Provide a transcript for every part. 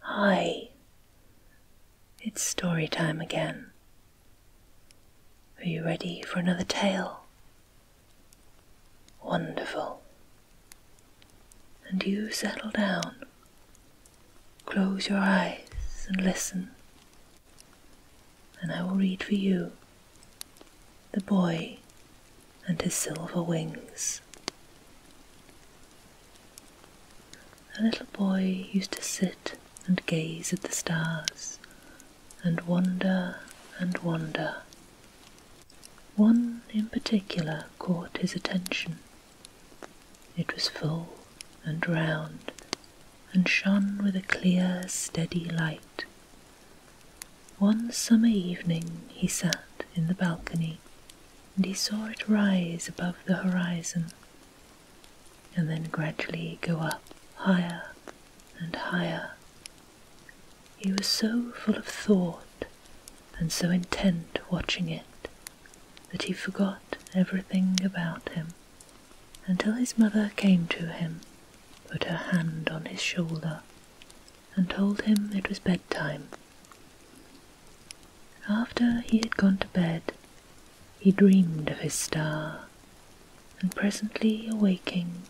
Hi, it's story time again. Are you ready for another tale? Wonderful. And you settle down. Close your eyes and listen, and I will read for you The Boy and His Silver Wings. A little boy used to sit and gaze at the stars and wonder and wonder. One in particular caught his attention. It was full and round and shone with a clear, steady light. One summer evening he sat in the balcony and he saw it rise above the horizon and then gradually go up higher and higher. He was so full of thought and so intent watching it that he forgot everything about him until his mother came to him, put her hand on his shoulder, and told him it was bedtime after he had gone to bed, he dreamed of his star, and presently awaking,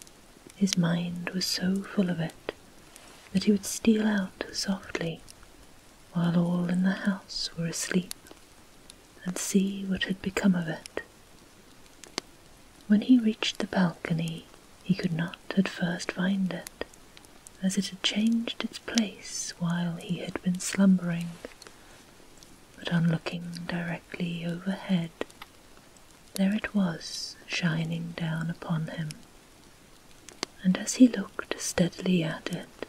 his mind was so full of it that he would steal out softly while all in the house were asleep and see what had become of it. When he reached the balcony, he could not at first find it, as it had changed its place while he had been slumbering. But on looking directly overhead, there it was shining down upon him. And as he looked steadily at it,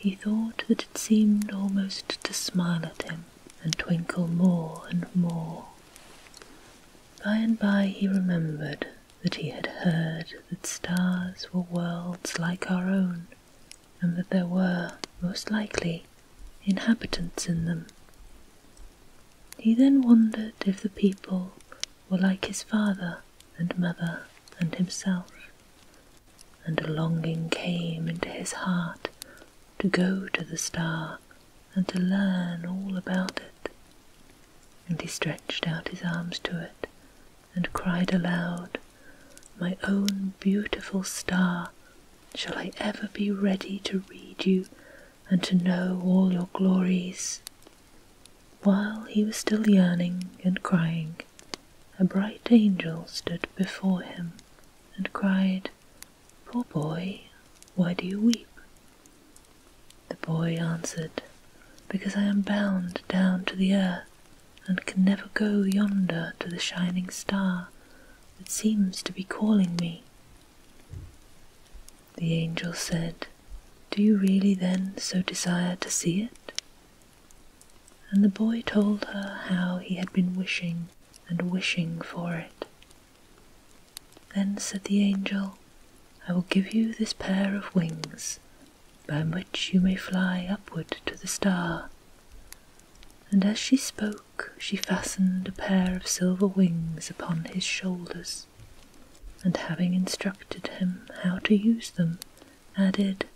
he thought that it seemed almost to smile at him and twinkle more and more. By and by he remembered that he had heard that stars were worlds like our own, and that there were, most likely, inhabitants in them. He then wondered if the people were like his father and mother and himself, and a longing came into his heart to go to the star and to learn all about it. And he stretched out his arms to it and cried aloud, My own beautiful star, shall I ever be ready to read you and to know all your glories? While he was still yearning and crying, a bright angel stood before him and cried, Poor oh, boy, why do you weep? The boy answered, Because I am bound down to the earth, and can never go yonder to the shining star that seems to be calling me. The angel said, Do you really then so desire to see it? And the boy told her how he had been wishing and wishing for it then said the angel, I will give you this pair of wings, by which you may fly upward to the star. And as she spoke, she fastened a pair of silver wings upon his shoulders, and having instructed him how to use them, added,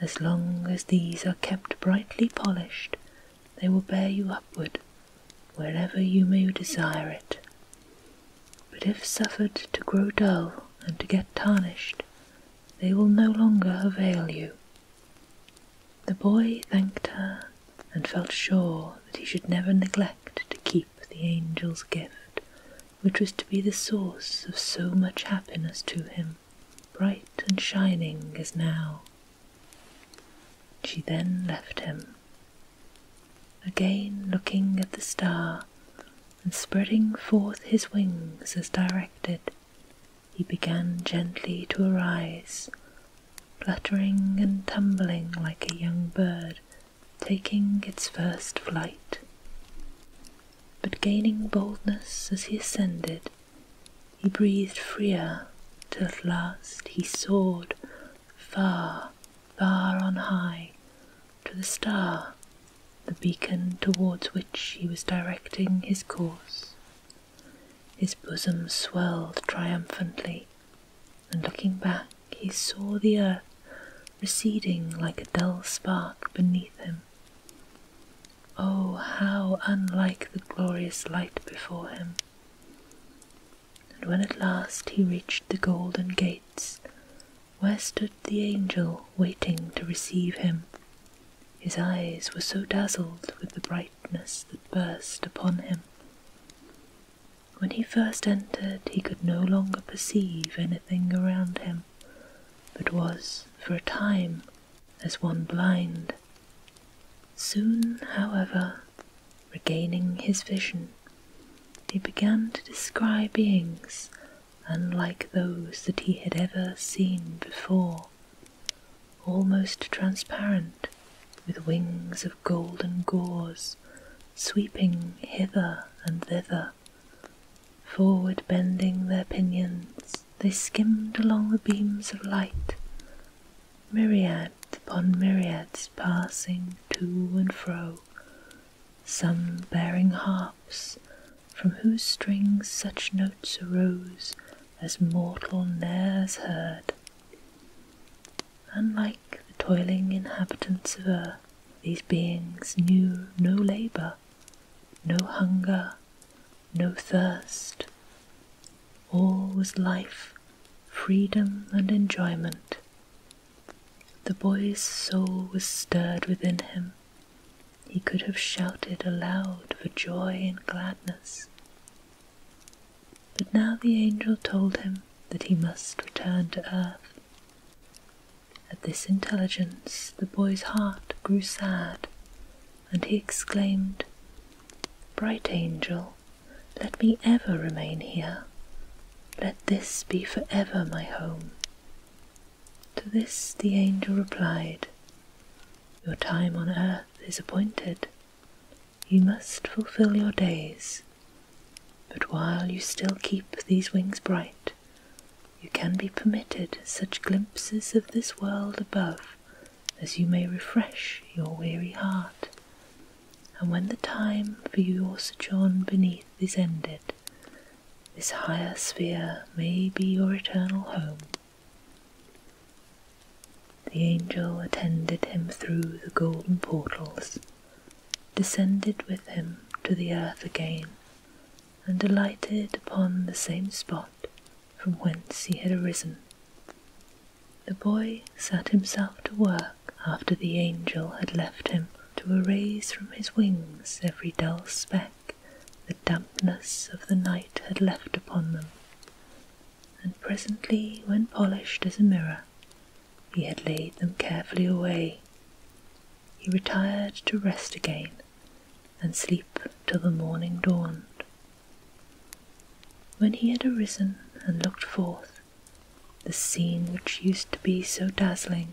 As long as these are kept brightly polished, they will bear you upward wherever you may desire it. But if suffered to grow dull and to get tarnished, they will no longer avail you. The boy thanked her and felt sure that he should never neglect to keep the angel's gift, which was to be the source of so much happiness to him, bright and shining as now. She then left him, again looking at the star, and spreading forth his wings as directed, he began gently to arise, fluttering and tumbling like a young bird taking its first flight. But gaining boldness as he ascended, he breathed freer, till at last he soared far, far on high to the star, the beacon towards which he was directing his course. His bosom swelled triumphantly, and looking back, he saw the earth receding like a dull spark beneath him. Oh, how unlike the glorious light before him! And when at last he reached the golden gates, where stood the angel waiting to receive him, his eyes were so dazzled with the brightness that burst upon him. When he first entered, he could no longer perceive anything around him, but was, for a time, as one blind, soon, however, regaining his vision. He began to descry beings unlike those that he had ever seen before, almost transparent, with wings of golden gauze sweeping hither and thither, forward bending their pinions they skimmed along the beams of light, myriad upon myriads passing to and fro, some bearing harps, from whose strings such notes arose as mortal ne'er heard. Unlike the toiling inhabitants of earth, these beings knew no labour, no hunger, no thirst. All was life, freedom, and enjoyment. The boy's soul was stirred within him. He could have shouted aloud for joy and gladness. But now the angel told him that he must return to earth. At this intelligence, the boy's heart grew sad, and he exclaimed, Bright angel, let me ever remain here. Let this be for ever my home. To this the angel replied, Your time on earth is appointed. You must fulfill your days. But while you still keep these wings bright, you can be permitted such glimpses of this world above as you may refresh your weary heart. And when the time for your sojourn beneath is ended, this higher sphere may be your eternal home. The angel attended him through the golden portals, descended with him to the earth again, and alighted upon the same spot from whence he had arisen. The boy set himself to work after the angel had left him to erase from his wings every dull speck the dampness of the night had left upon them. And presently, when polished as a mirror, he had laid them carefully away. He retired to rest again and sleep till the morning dawned. When he had arisen and looked forth, the scene which used to be so dazzling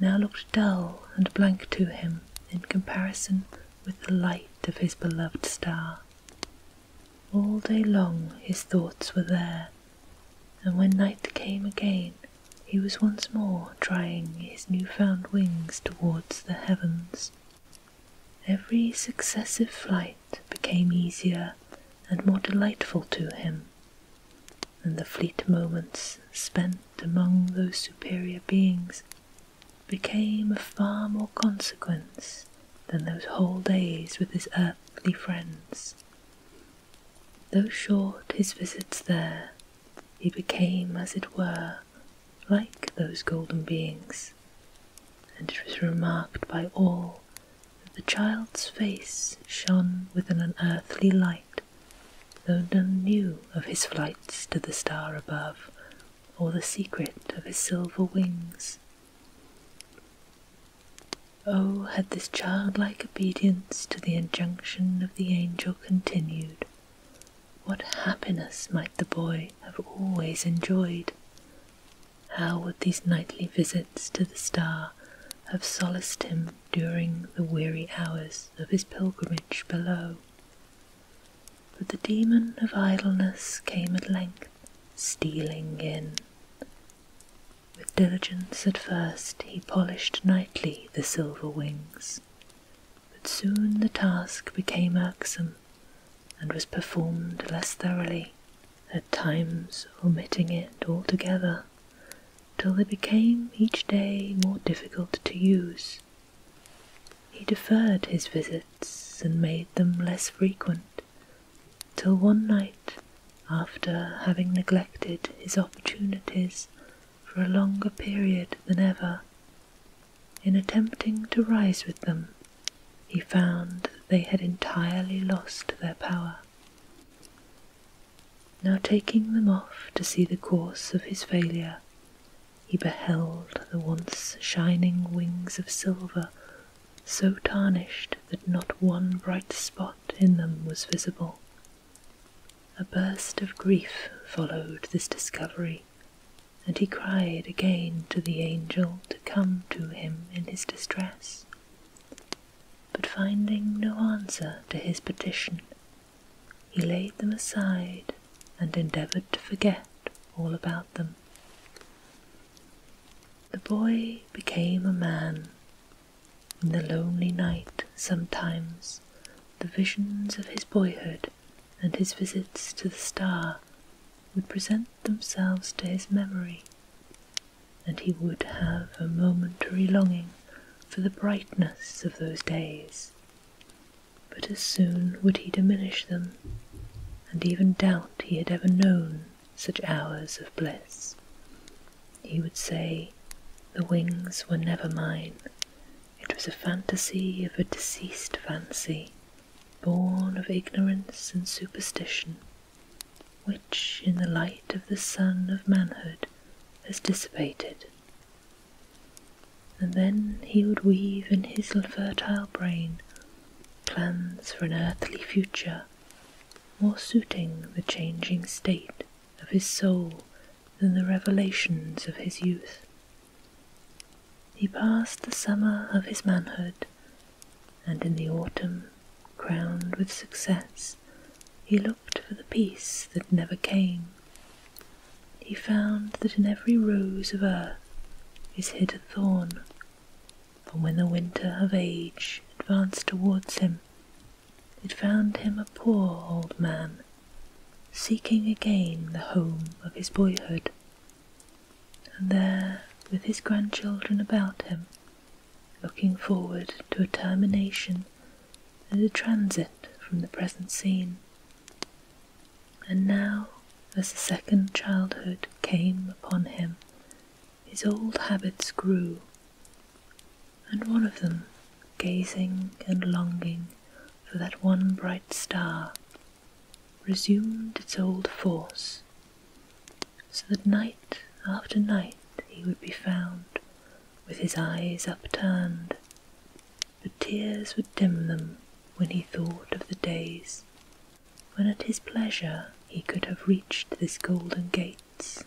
now looked dull and blank to him in comparison with the light of his beloved star. All day long his thoughts were there, and when night came again, he was once more Trying his new-found wings towards the heavens. Every successive flight became easier and more delightful to him, and the fleet moments spent among those superior beings became of far more consequence than those whole days with his earthly friends. Though short his visits there, he became, as it were, like those golden beings, and it was remarked by all that the child's face shone with an unearthly light, though none knew of his flights to the star above, or the secret of his silver wings. Oh, had this childlike obedience to the injunction of the angel continued, what happiness might the boy have always enjoyed! How would these nightly visits to the star have solaced him during the weary hours of his pilgrimage below? But the demon of idleness came at length stealing in. With diligence at first he polished nightly the silver wings but soon the task became irksome and was performed less thoroughly, at times omitting it altogether, till they became each day more difficult to use. He deferred his visits and made them less frequent, till one night, after having neglected his opportunities for a longer period than ever. In attempting to rise with them, he found that they had entirely lost their power. Now, taking them off to see the course of his failure, he beheld the once shining wings of silver so tarnished that not one bright spot in them was visible. A burst of grief followed this discovery, and he cried again to the angel to come to him in his distress. But finding no answer to his petition, he laid them aside and endeavoured to forget all about them. The boy became a man in the lonely night, sometimes, the visions of his boyhood and his visits to the star would present themselves to his memory, and he would have a momentary longing for the brightness of those days. But as soon would he diminish them, and even doubt he had ever known such hours of bliss. He would say, The wings were never mine. It was a fantasy of a deceased fancy, born of ignorance and superstition, which, in the light of the sun of manhood, has dissipated. And then he would weave in his fertile brain plans for an earthly future, more suiting the changing state of his soul than the revelations of his youth. He passed the summer of his manhood, and in the autumn, crowned with success, he looked for the peace that never came. He found that in every rose of earth is hid a thorn, and when the winter of age advanced towards him, it found him a poor old man, seeking again the home of his boyhood. And there, with his grandchildren about him, looking forward to a termination and a transit from the present scene. And now, as the second childhood came upon him, his old habits grew, and one of them gazing and longing for that one bright star resumed its old force, so that night after night he would be found with his eyes upturned, but tears would dim them when he thought of the days when at his pleasure he could have reached this golden gates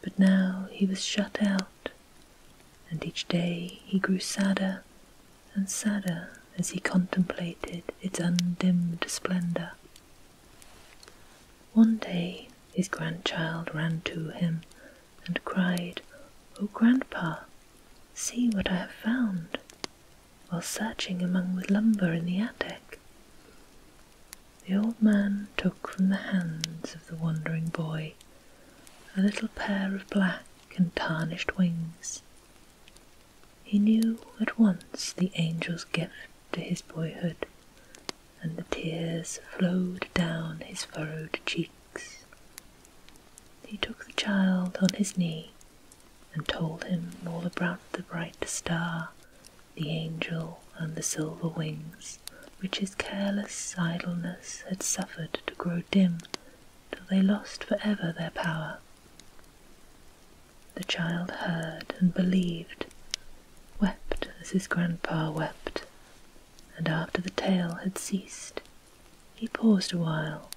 but now he was shut out, and each day he grew sadder and sadder as he contemplated its undimmed splendour. One day his grandchild ran to him and cried, Oh, grandpa, see what I have found, while searching among the lumber in the attic. The old man took from the hands of the wandering boy a little pair of black and tarnished wings. He knew at once the angel's gift to his boyhood, and the tears flowed down his furrowed cheeks. He took the child on his knee and told him all about the bright star the angel and the silver wings, which his careless idleness had suffered to grow dim till they lost for ever their power. The child heard and believed, wept as his grandpa wept, and after the tale had ceased, he paused awhile,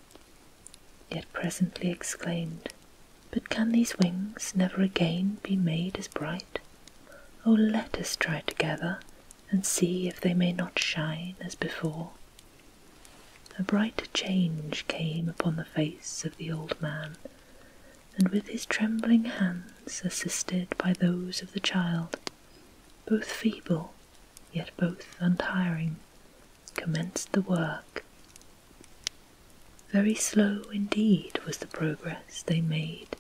yet presently exclaimed, but can these wings never again be made as bright? Oh, let us try together and see if they may not shine as before. A bright change came upon the face of the old man, and with his trembling hands, assisted by those of the child, both feeble yet both untiring, commenced the work very slow indeed was the progress they made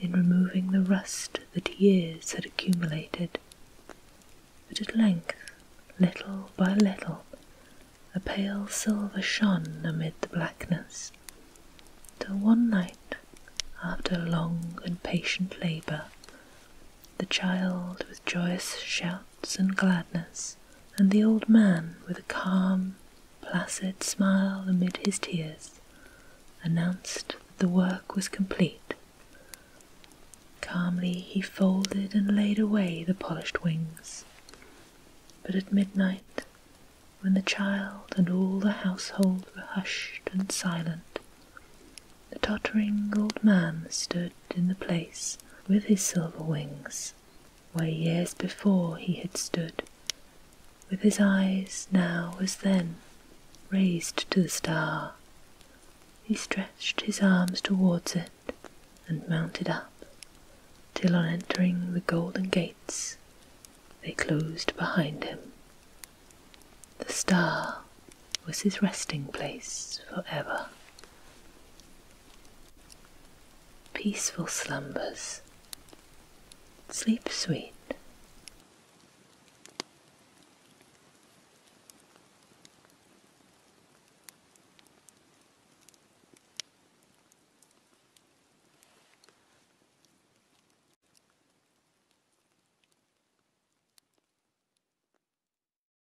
in removing the rust that years had accumulated, but at length, little by little, a pale silver shone amid the blackness, till one night, after long and patient labour, the child with joyous shouts and gladness and the old man, with a calm, placid smile amid his tears, announced that the work was complete. Calmly he folded and laid away the polished wings. But at midnight, when the child and all the household were hushed and silent, the tottering old man stood in the place with his silver wings where years before he had stood, with his eyes now as then raised to the star. He stretched his arms towards it and mounted up, till on entering the golden gates they closed behind him. The star was his resting place for ever. Peaceful slumbers. Sleep sweet.